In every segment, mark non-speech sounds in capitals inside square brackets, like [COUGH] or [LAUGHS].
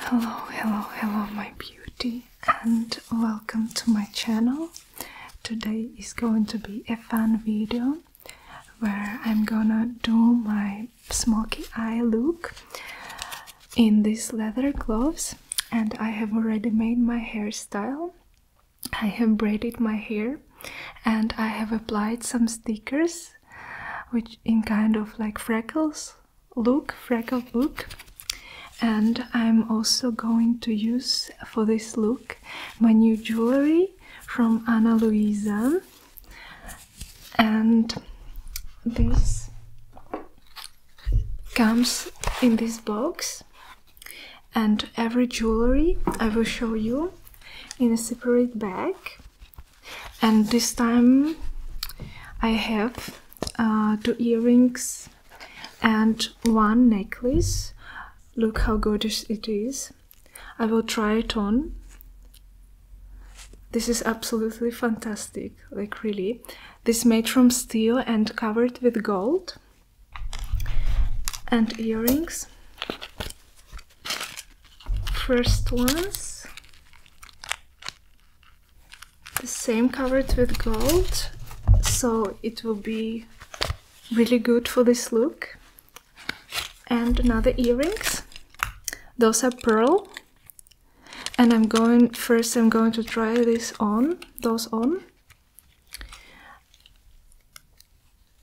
Hello, hello, hello, my beauty, and welcome to my channel. Today is going to be a fun video where I'm gonna do my smoky eye look in these leather gloves, and I have already made my hairstyle. I have braided my hair and I have applied some stickers which in kind of like freckles look, freckle look. And I'm also going to use for this look my new jewelry from Ana Luisa. And this comes in this box. And every jewelry I will show you in a separate bag and this time I have uh, two earrings and one necklace. Look how gorgeous it is. I will try it on. This is absolutely fantastic, like really. This made from steel and covered with gold and earrings. First ones the same covered with gold so it will be really good for this look and another earrings those are pearl and I'm going first I'm going to try this on those on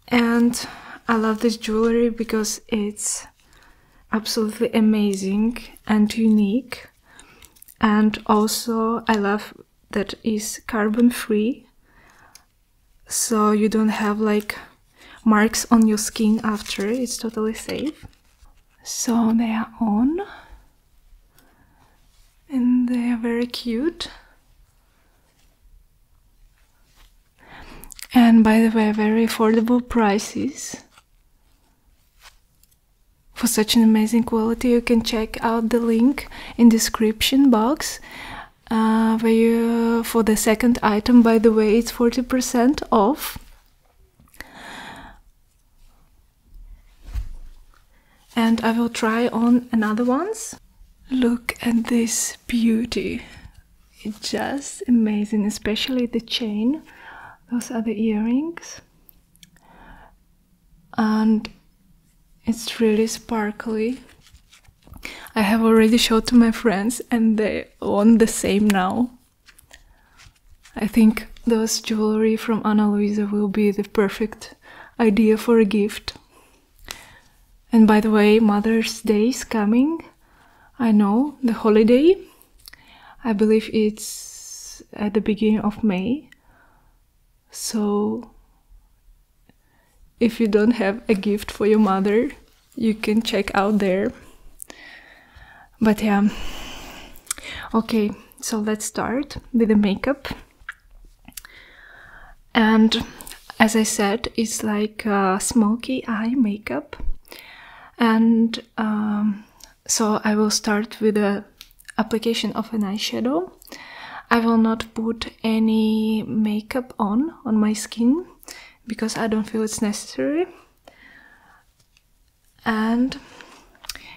and I love this jewelry because it's absolutely amazing and unique and also i love that it's carbon free so you don't have like marks on your skin after it's totally safe so they are on and they are very cute and by the way very affordable prices for such an amazing quality you can check out the link in description box uh, for the second item by the way it's 40% off and i will try on another ones look at this beauty it's just amazing especially the chain those are the earrings and it's really sparkly i have already showed to my friends and they want the same now i think those jewelry from ana luisa will be the perfect idea for a gift and by the way mother's day is coming i know the holiday I believe it's at the beginning of May. So, if you don't have a gift for your mother, you can check out there. But yeah. Okay, so let's start with the makeup. And as I said, it's like uh, smoky eye makeup. And um, so I will start with the application of an eyeshadow. I will not put any makeup on on my skin because I don't feel it's necessary. And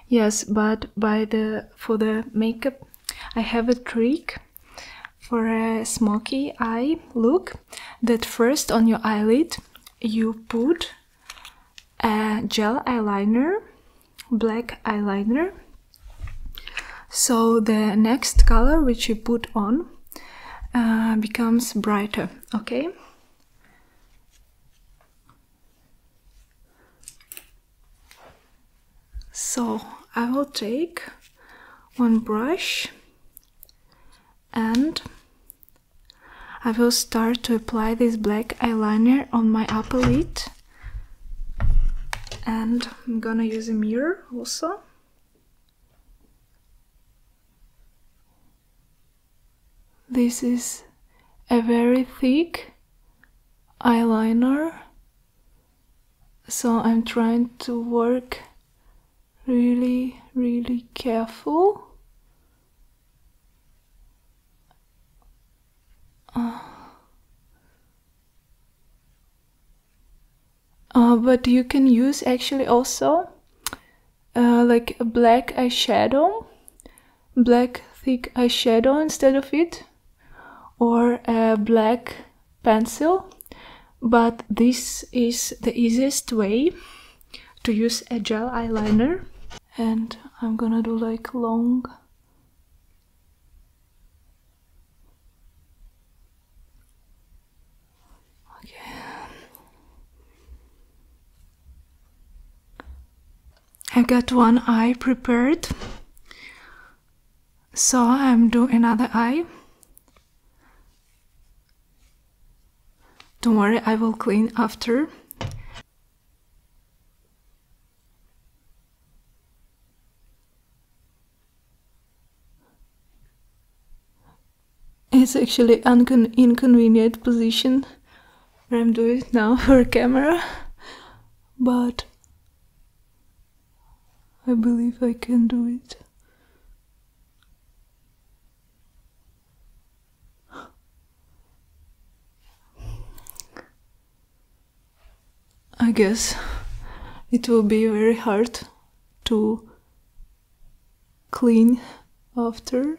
yes, but by the for the makeup I have a trick for a smoky eye look that first on your eyelid you put a gel eyeliner black eyeliner so the next color which you put on uh, becomes brighter okay so i will take one brush and I will start to apply this black eyeliner on my upper lid and I'm gonna use a mirror also. This is a very thick eyeliner, so I'm trying to work really, really careful uh, but you can use actually also uh, like a black eyeshadow, black thick eyeshadow instead of it, or a black pencil. But this is the easiest way to use a gel eyeliner and I'm gonna do like long okay I got one eye prepared so I'm doing another eye don't worry, I will clean after. It's actually an inconvenient position I'm doing it now [LAUGHS] for camera, but I believe I can do it. I guess it will be very hard to clean after.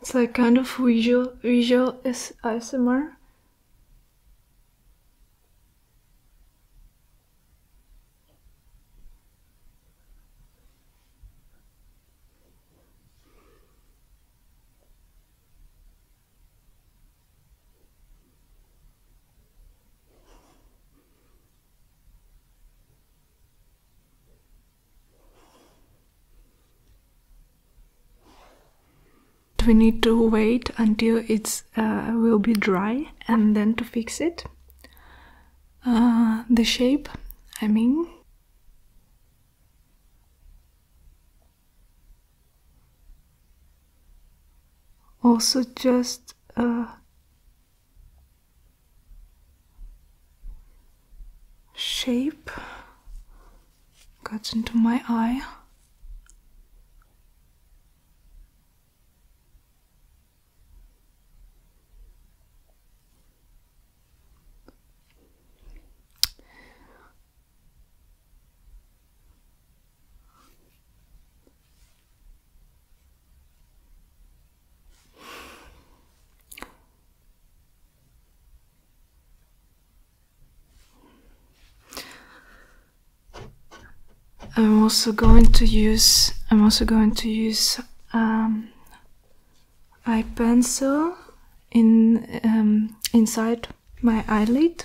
It's like kind of visual, visual is ASMR we need to wait until it's uh, will be dry and then to fix it uh, the shape I mean also just uh, shape cuts into my eye. I'm also going to use I'm also going to use um, pencil in um, inside my eyelid.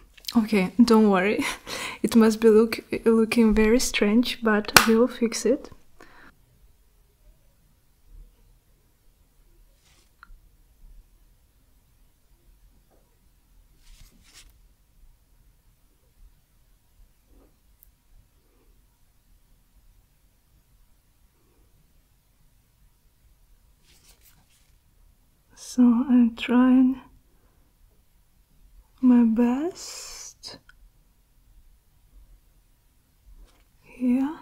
Okay, don't worry. [LAUGHS] It must be look looking very strange, but we'll fix it. So I'm trying my best yeah.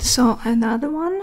So another one.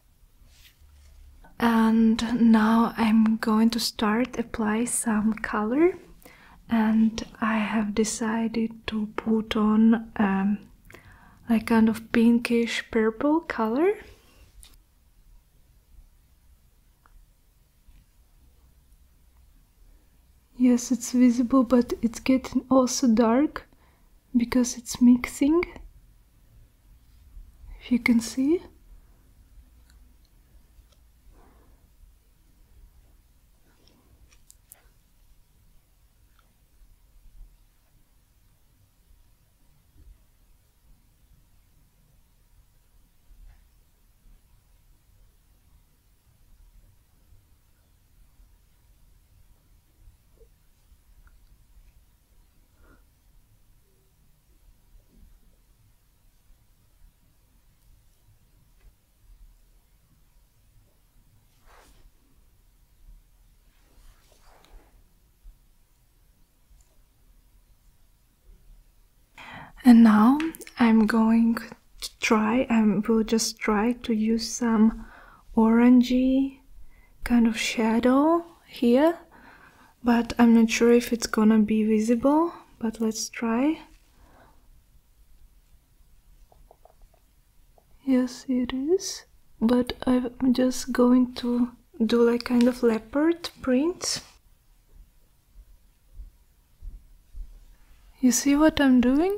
and now I'm going to start apply some color and I have decided to put on um, a kind of pinkish purple color yes it's visible but it's getting also dark because it's mixing if you can see. And now I'm going to try, I will just try to use some orangey kind of shadow here but I'm not sure if it's gonna be visible but let's try yes it is but I'm just going to do like kind of leopard print you see what I'm doing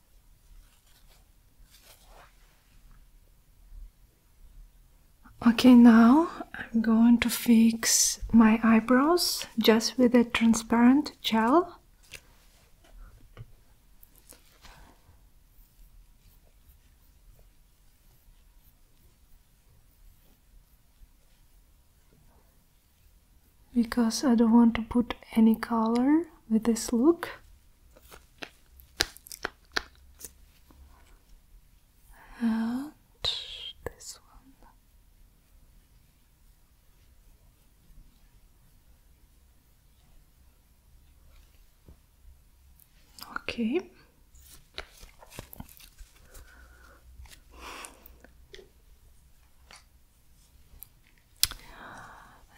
Okay, now I'm going to fix my eyebrows just with a transparent gel. Because I don't want to put any color with this look and this one. Okay.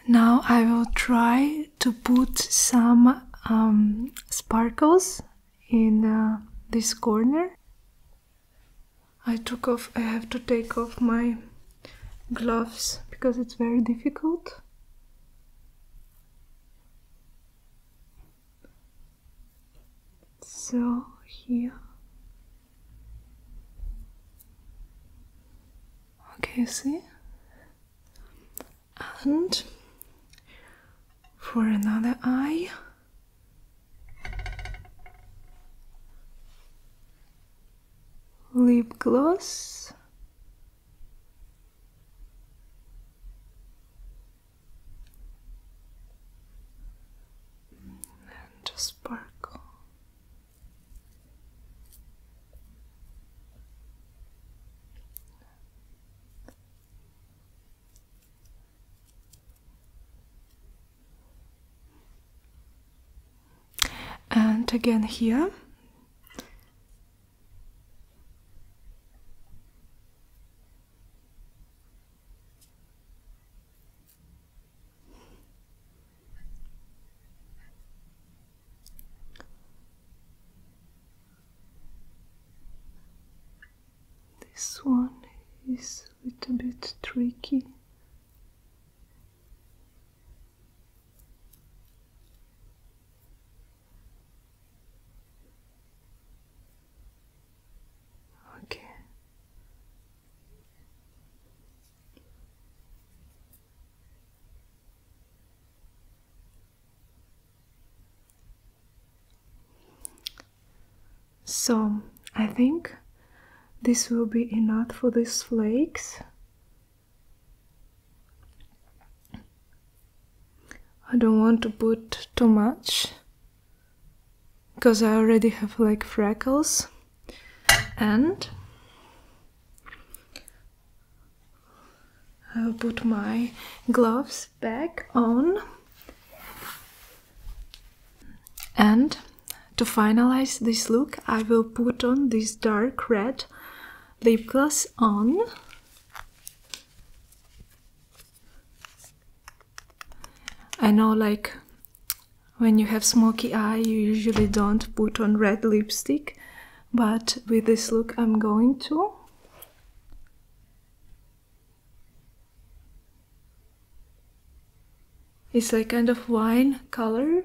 Now I will try to put some um, sparkles in uh, this corner. I took off, I have to take off my gloves because it's very difficult. So here. Okay, see? and for another eye lip gloss and a sparkle and again here this one is a little bit tricky. Okay. So I think this will be enough for these flakes. I don't want to put too much because I already have like freckles and I will put my gloves back on. And to finalize this look, I will put on this dark red lip gloss on. I know like when you have smoky eye you usually don't put on red lipstick but with this look I'm going to it's like kind of wine color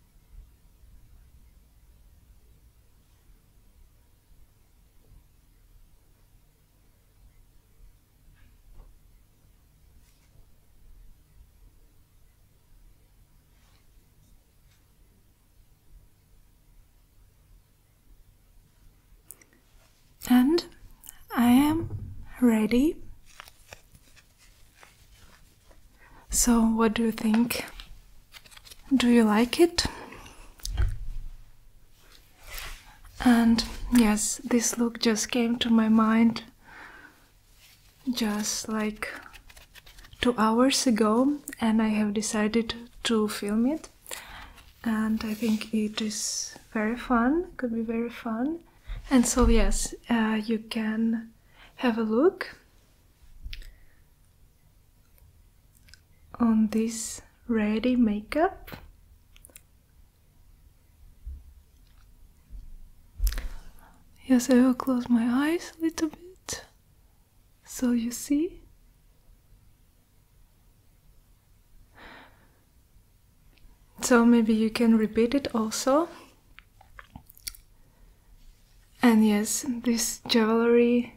And I am ready so, what do you think? Do you like it? And yes, this look just came to my mind just like two hours ago, and I have decided to film it. And I think it is very fun, could be very fun. And so, yes, uh, you can have a look on this ready makeup yes I will close my eyes a little bit so you see so maybe you can repeat it also and yes, this jewelry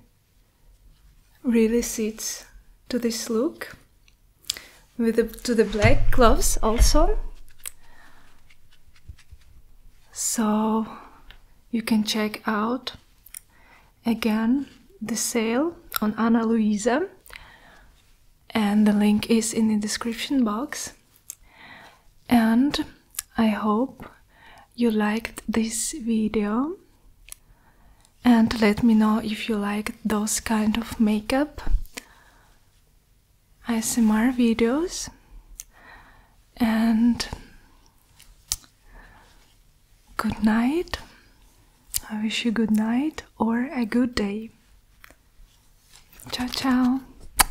really suits to this look with to the black gloves also. So you can check out again the sale on Anna Luisa and the link is in the description box and I hope you liked this video and let me know if you like those kind of makeup ASMR videos and good night I wish you good night or a good day ciao ciao